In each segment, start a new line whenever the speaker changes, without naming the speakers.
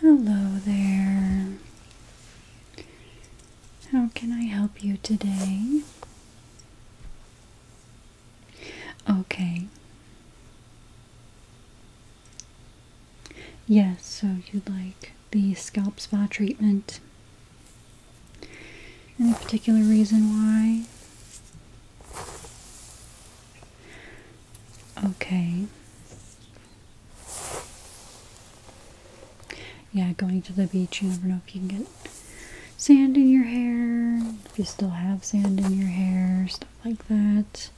Hello there. How can I help you today? Okay. Yes, so you'd like the scalp spa treatment. Any particular reason why? Okay. Yeah, going to the beach, you never know if you can get sand in your hair, if you still have sand in your hair, stuff like that.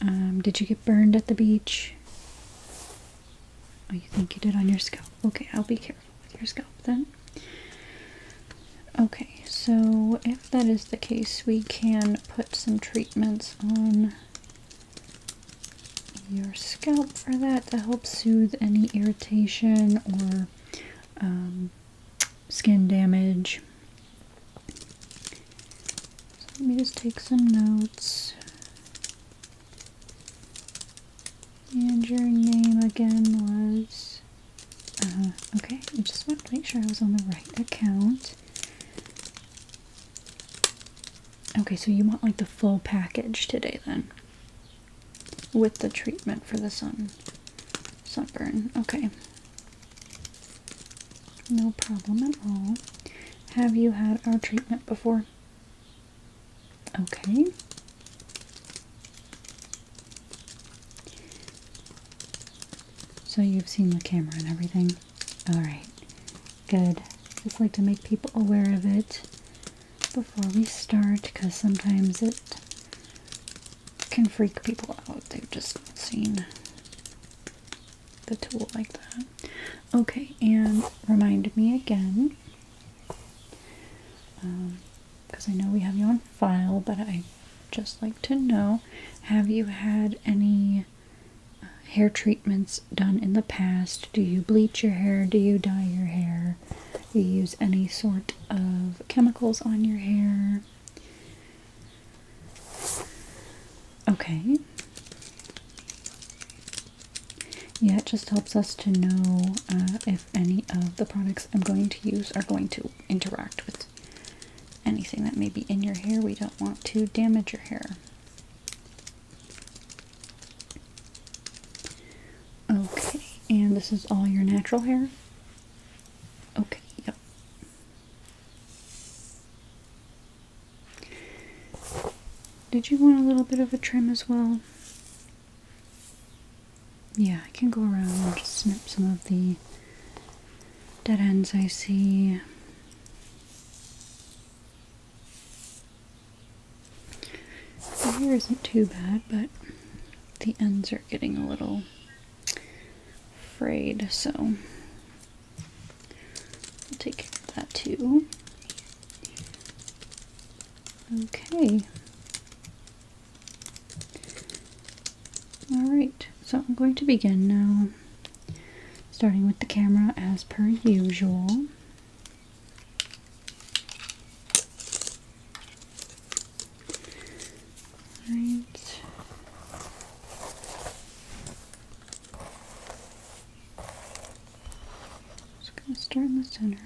Um, did you get burned at the beach? Oh, you think you did on your scalp. Okay, I'll be careful with your scalp then. Okay, so if that is the case, we can put some treatment on your scalp for that to help soothe any irritation or um, skin damage. let me just take some notes. And your name again was. Uh-huh, okay, I just want to make sure I was on the right account. Okay, so you want like the full package today then. With the treatment for the sun sunburn. Okay. No problem at all. Have you had our treatment before? Okay. So you've seen the camera and everything? Alright, good. Just like to make people aware of it before we start because sometimes it can freak people out. They've just seen the tool like that. Okay, and remind me again because um, I know we have you on file, but I just like to know have you had any uh, hair treatments done in the past? Do you bleach your hair? Do you dye your hair? Do you use any sort of chemicals on your hair? Okay. Yeah, it just helps us to know uh, if any of the products I'm going to use are going to interact with anything that may be in your hair. We don't want to damage your hair. Okay, and this is all your natural hair? Okay, yep. Did you want a little bit of a trim as well? Yeah, I can go around and just snip some of the dead ends I see. Here not too bad, but the ends are getting a little frayed, so I'll take that too. Okay. Alright, so I'm going to begin now Starting with the camera as per usual. Right. Just going to start in the center.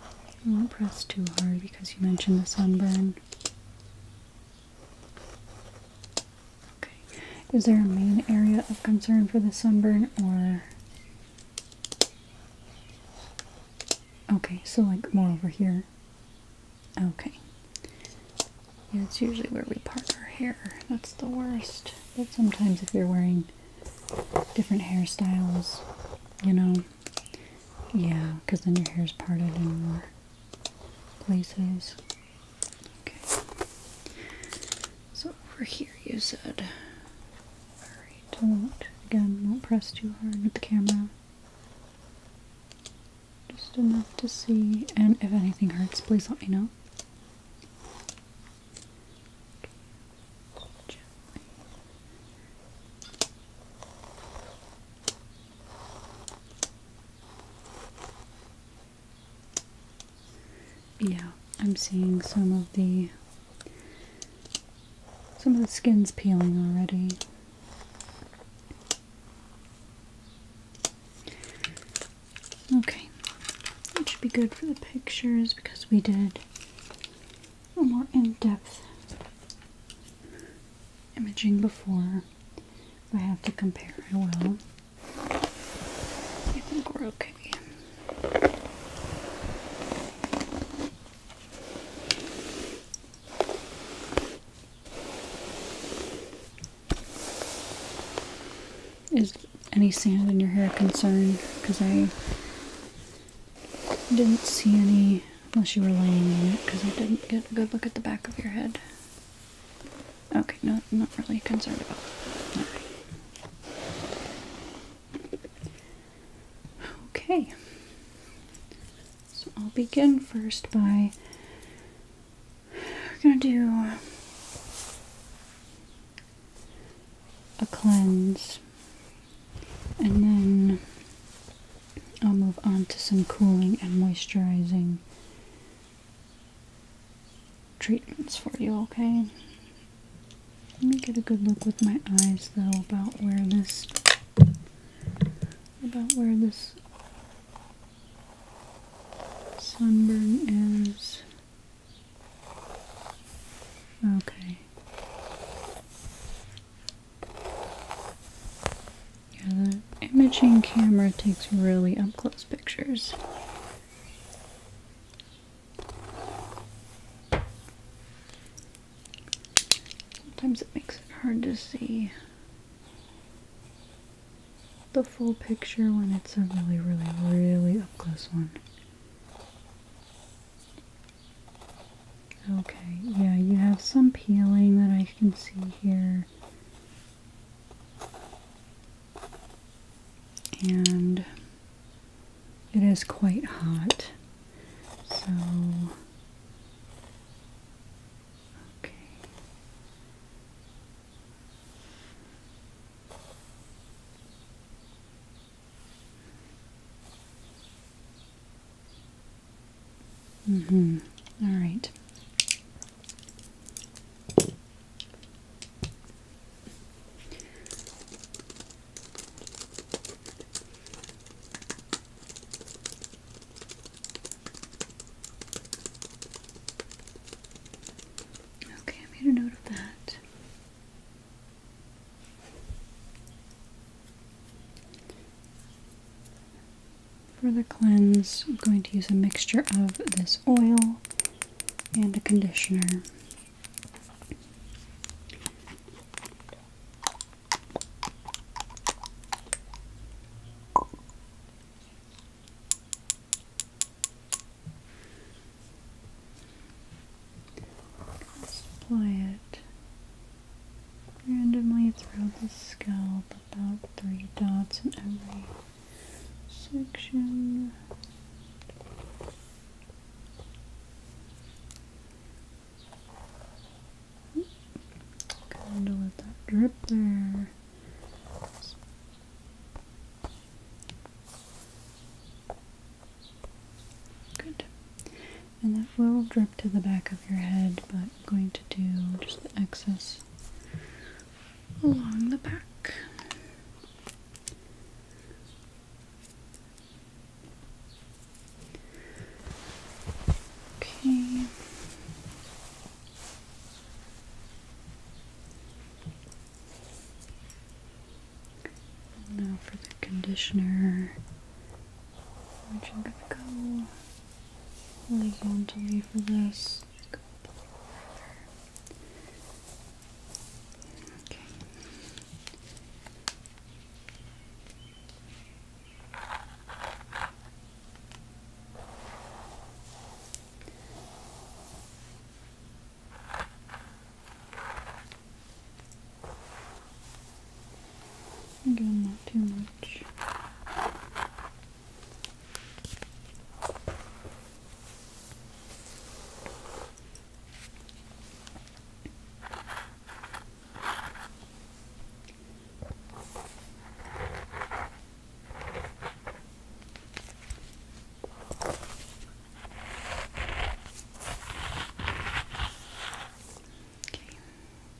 I not press too hard because you mentioned the sunburn. Okay. Is there a main area of concern for the sunburn or Okay, so like more over here. Okay. that's usually where we part our hair. That's the worst. But sometimes if you're wearing different hairstyles, you know, yeah, because then your hair's parted and more places. Okay. So over here you said. Alright, I won't, again, won't press too hard with the camera. Just enough to see, and if anything hurts, please let me know. Yeah, I'm seeing some of the some of the skin's peeling already. Okay, that should be good for the pictures because we did a more in-depth imaging before. I have to compare, I will. I think we're okay. Is any sand in your hair concerned? Because I didn't see any unless you were laying on it because I didn't get a good look at the back of your head. Okay, no, I'm not really concerned about that. Okay. So I'll begin first by we're gonna do a cleanse and then I'll move on to some cooling and moisturizing treatments for you, okay? Let me get a good look with my eyes though about where this about where this sunburn is. Okay. Yeah, the imaging camera takes really up close pictures. Sometimes it makes it hard to see the full picture when it's a really, really, really up close one. Okay, yeah, you have some peeling that I can see here and it is quite hot so okay Mm-hmm. All right. Okay, I made a note that. For the cleanse, I'm going to use a mixture of this oil and a conditioner. Let's apply it randomly throughout the scalp, about three dots in every section. Kind of let that drip there. Good. And that will drip to the back of your head, but I'm going to do just the excess along the back. Okay. now for the conditioner, which I'm going to go we're going to horizontally for this. Okay. Again, not too much. Okay.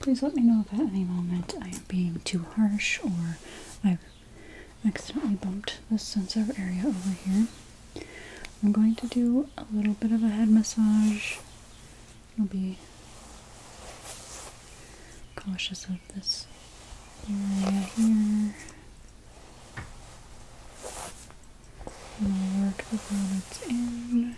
Please let me know if at any moment I am being too harsh or I've accidentally bumped this sensitive area over here. I'm going to do a little bit of a head massage. I'll be cautious of this area here. And I'll work the grommets in.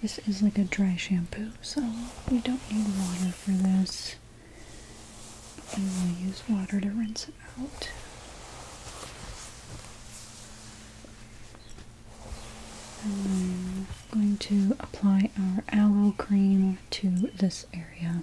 This is like a dry shampoo, so we don't need water for this and we'll use water to rinse it out. And I'm going to apply our aloe cream to this area.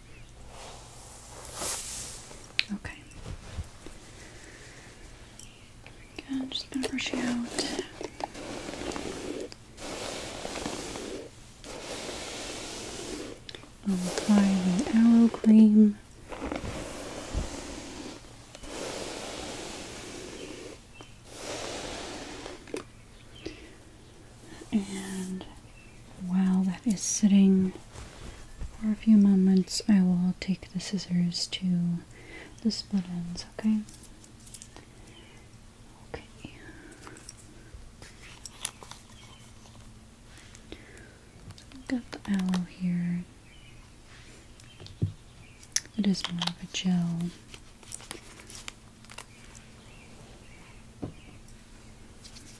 Okay. I'm just gonna brush you out. apply the aloe cream. And while that is sitting for a few moments, I will take the scissors to the split ends, okay? Okay. Got the aloe here. It is more of a gel. Sorry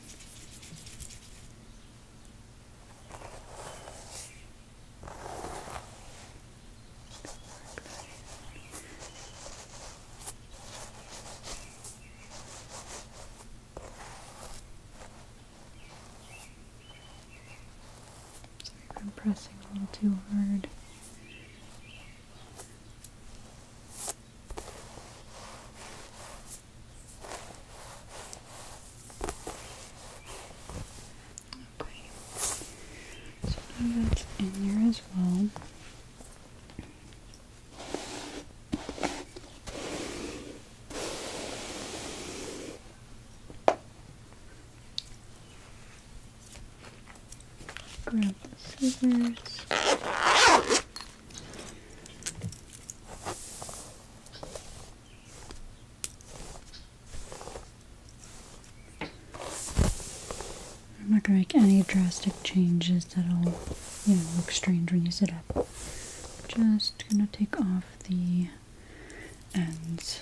if I'm pressing a little too hard. So now that's in here as well. Grab the scissors. I'm not gonna make any drastic changes that'll, you know, look strange when you sit up. Just gonna take off the ends.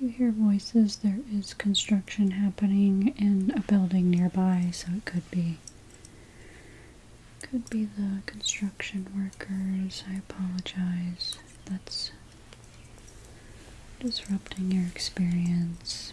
You hear voices. There is construction happening in a building nearby, so it could be could be the construction workers. I apologize. That's disrupting your experience.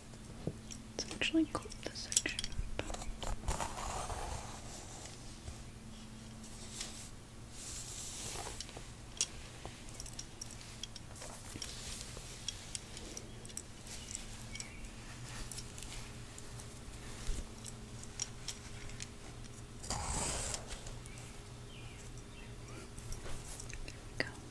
Let's actually clip this section go.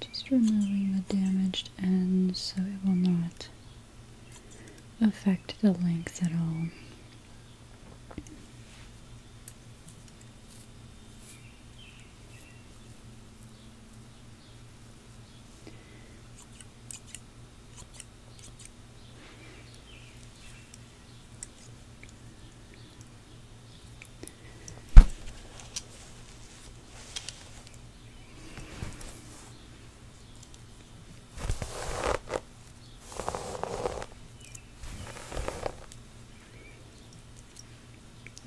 Just removing the damaged end so it will not affect the length at all.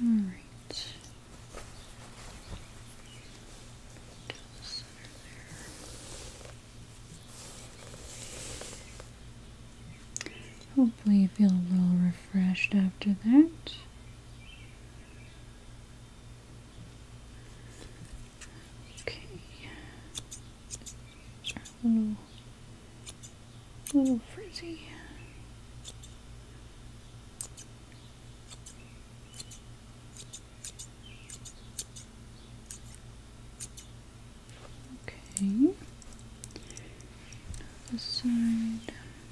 All right. Hopefully, you feel a little refreshed after that. Okay. little, little frizzy. Okay. The side.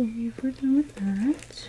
Okay, we're done with that.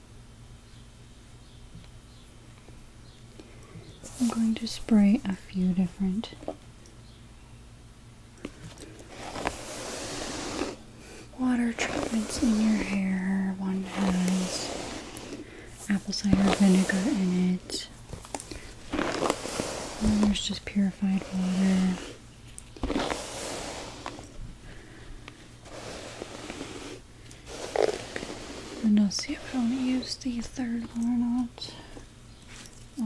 I'm going to spray a few different water treatments in your hair. One has apple cider vinegar in it. And there's just purified water. And I'll see if I want to use the third one or not.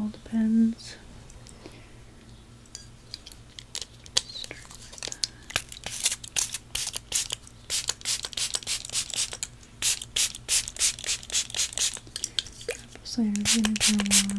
All depends. So I'm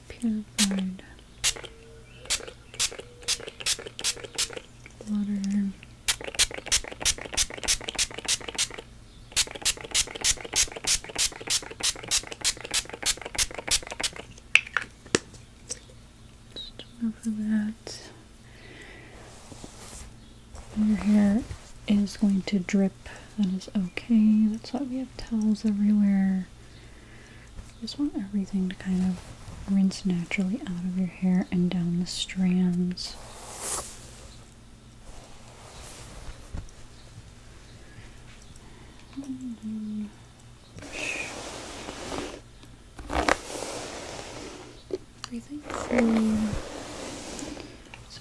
the pure water. Just over that. Your hair is going to drip. That is okay. That's why we have towels everywhere. I just want everything to kind of rinse naturally out of your hair and down the strands. And then push. Breathing through so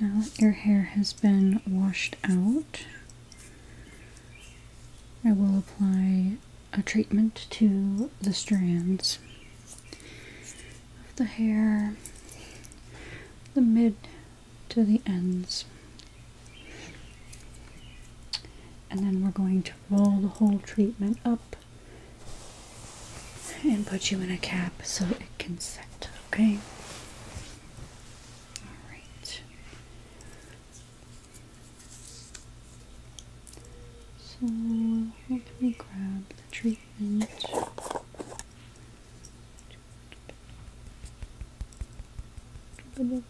Now that your hair has been washed out, I will apply a treatment to the strands of the hair, the mid to the ends. And then we're going to roll the whole treatment up and put you in a cap so it can set, okay? Alright. So let me grab the treatment. Get rid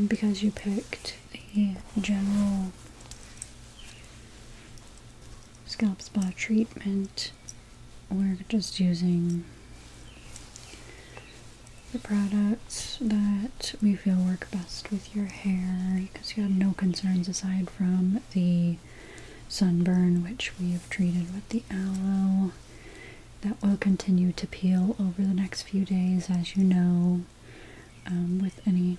And because you picked the general scalp spa treatment, we're just using the products that we feel work best with your hair because you have no concerns aside from the sunburn which we have treated with the aloe that will continue to peel over the next few days as you know um, with any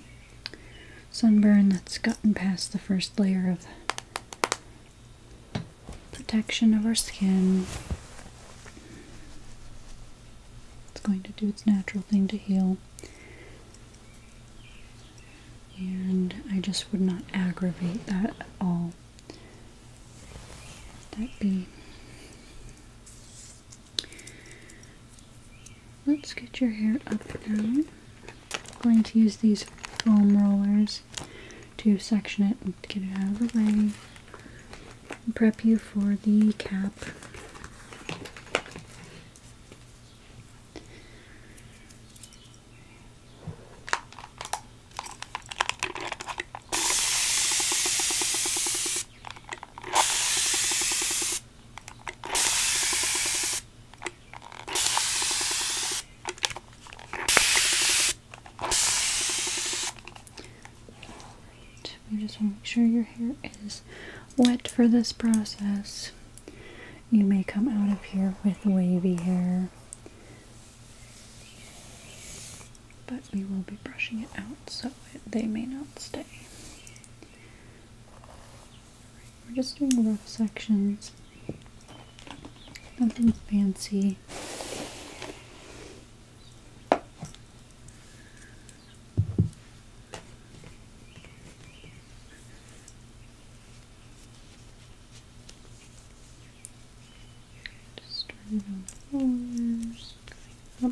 sunburn that's gotten past the first layer of protection of our skin. It's going to do its natural thing to heal. And I just would not aggravate that at all. That be. Let's get your hair up now. I'm going to use these foam rollers to section it and get it out of the way prep you for the cap we just want to make sure your hair is wet for this process. You may come out of here with wavy hair, but we will be brushing it out so they may not stay. We're just doing rough sections. Nothing fancy. Just turn it on going up.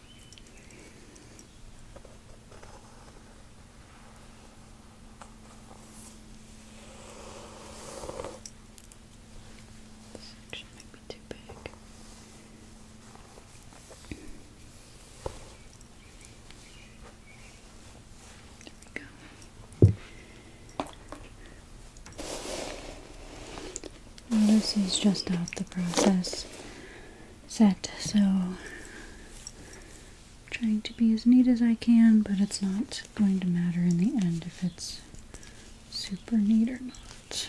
This section might be too big. There we go. Lucy's just off the process set so I'm trying to be as neat as I can but it's not going to matter in the end if it's super neat or not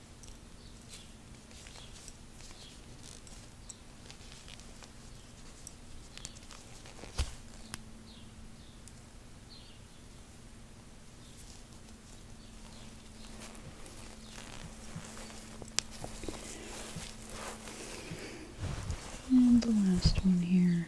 And the last one here.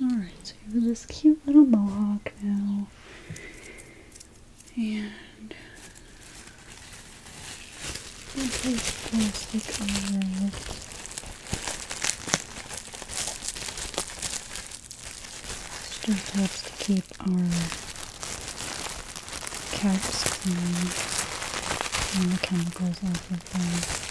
Alright, so you have this cute little mohawk now. And place plastic on your this just helps to keep our cats clean and the chemicals off of them.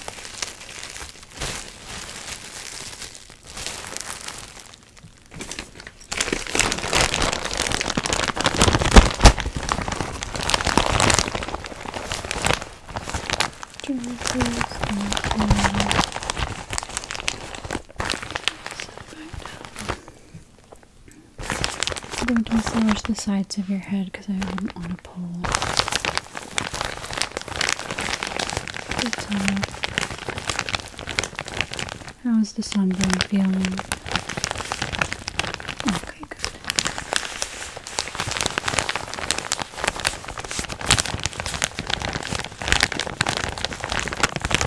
I'm going to massage the sides of your head because I wouldn't want to pull the uh, How's the sunburn feeling? Okay, good.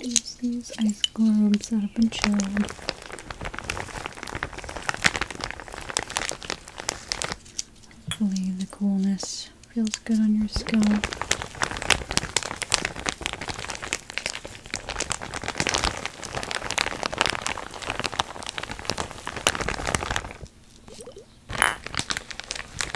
Use these ice globes that have been chilled. Hopefully, the coolness feels good on your skin.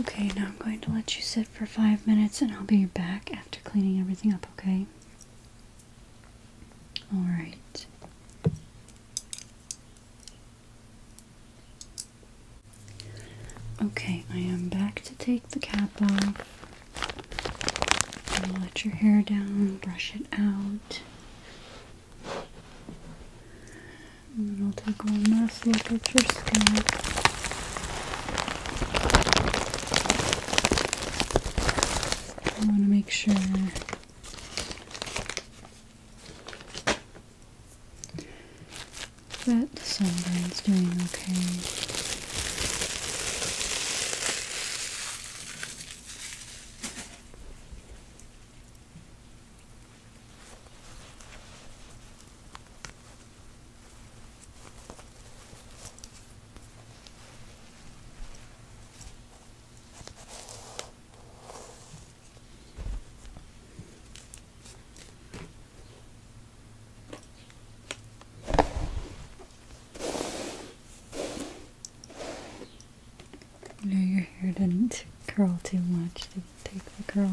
Okay, now I'm going to let you sit for five minutes and I'll be back after cleaning everything up, okay? All right. Okay, I am back to take the cap off. let your hair down, brush it out. And then I'll take one last look at your skin. I want to make sure that the sunburn's doing okay. You know, your hair didn't curl too much Didn't take the curl.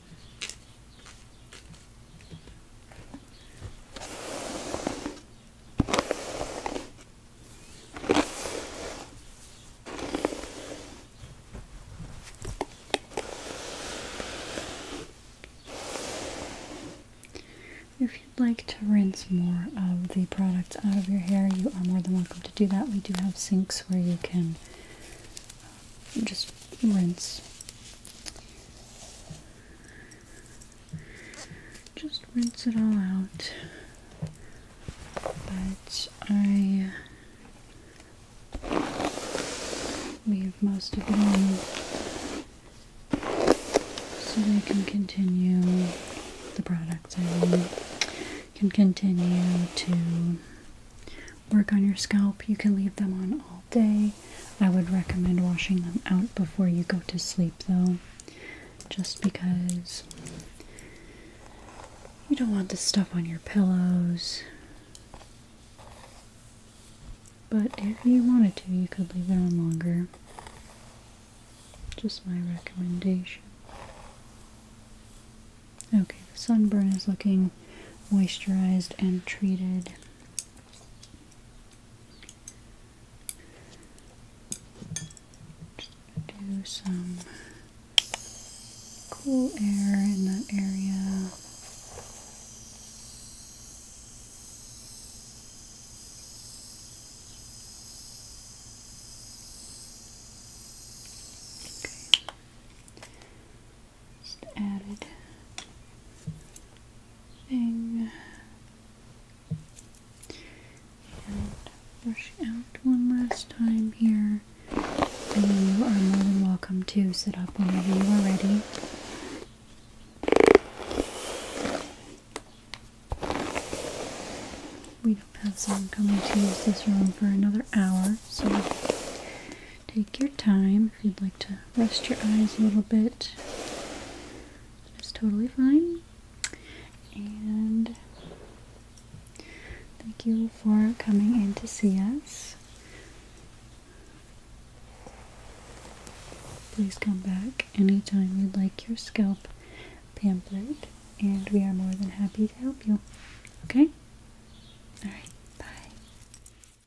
If you'd like to rinse more of the products out of your hair, you are more than welcome to do that. We do have sinks where you can uh, just rinse just rinse it all out. But I leave most of it in so they can continue the products I mean can continue to work on your scalp. You can leave them on all day. I would recommend washing them out before you go to sleep though, just because you don't want the stuff on your pillows. But if you wanted to, you could leave it on longer. Just my recommendation. Okay, the sunburn is looking moisturized and treated do some cool air in that area. Just added thing and brush out one last time here. And you are more than welcome to sit up whenever you are ready. We don't have someone coming to use this room for another hour, so Take your time if you'd like to rest your eyes a little bit. It's totally fine. And thank you for coming in to see us. Please come back anytime you'd like your scalp pampered, and we are more than happy to help you. Okay? Alright, bye.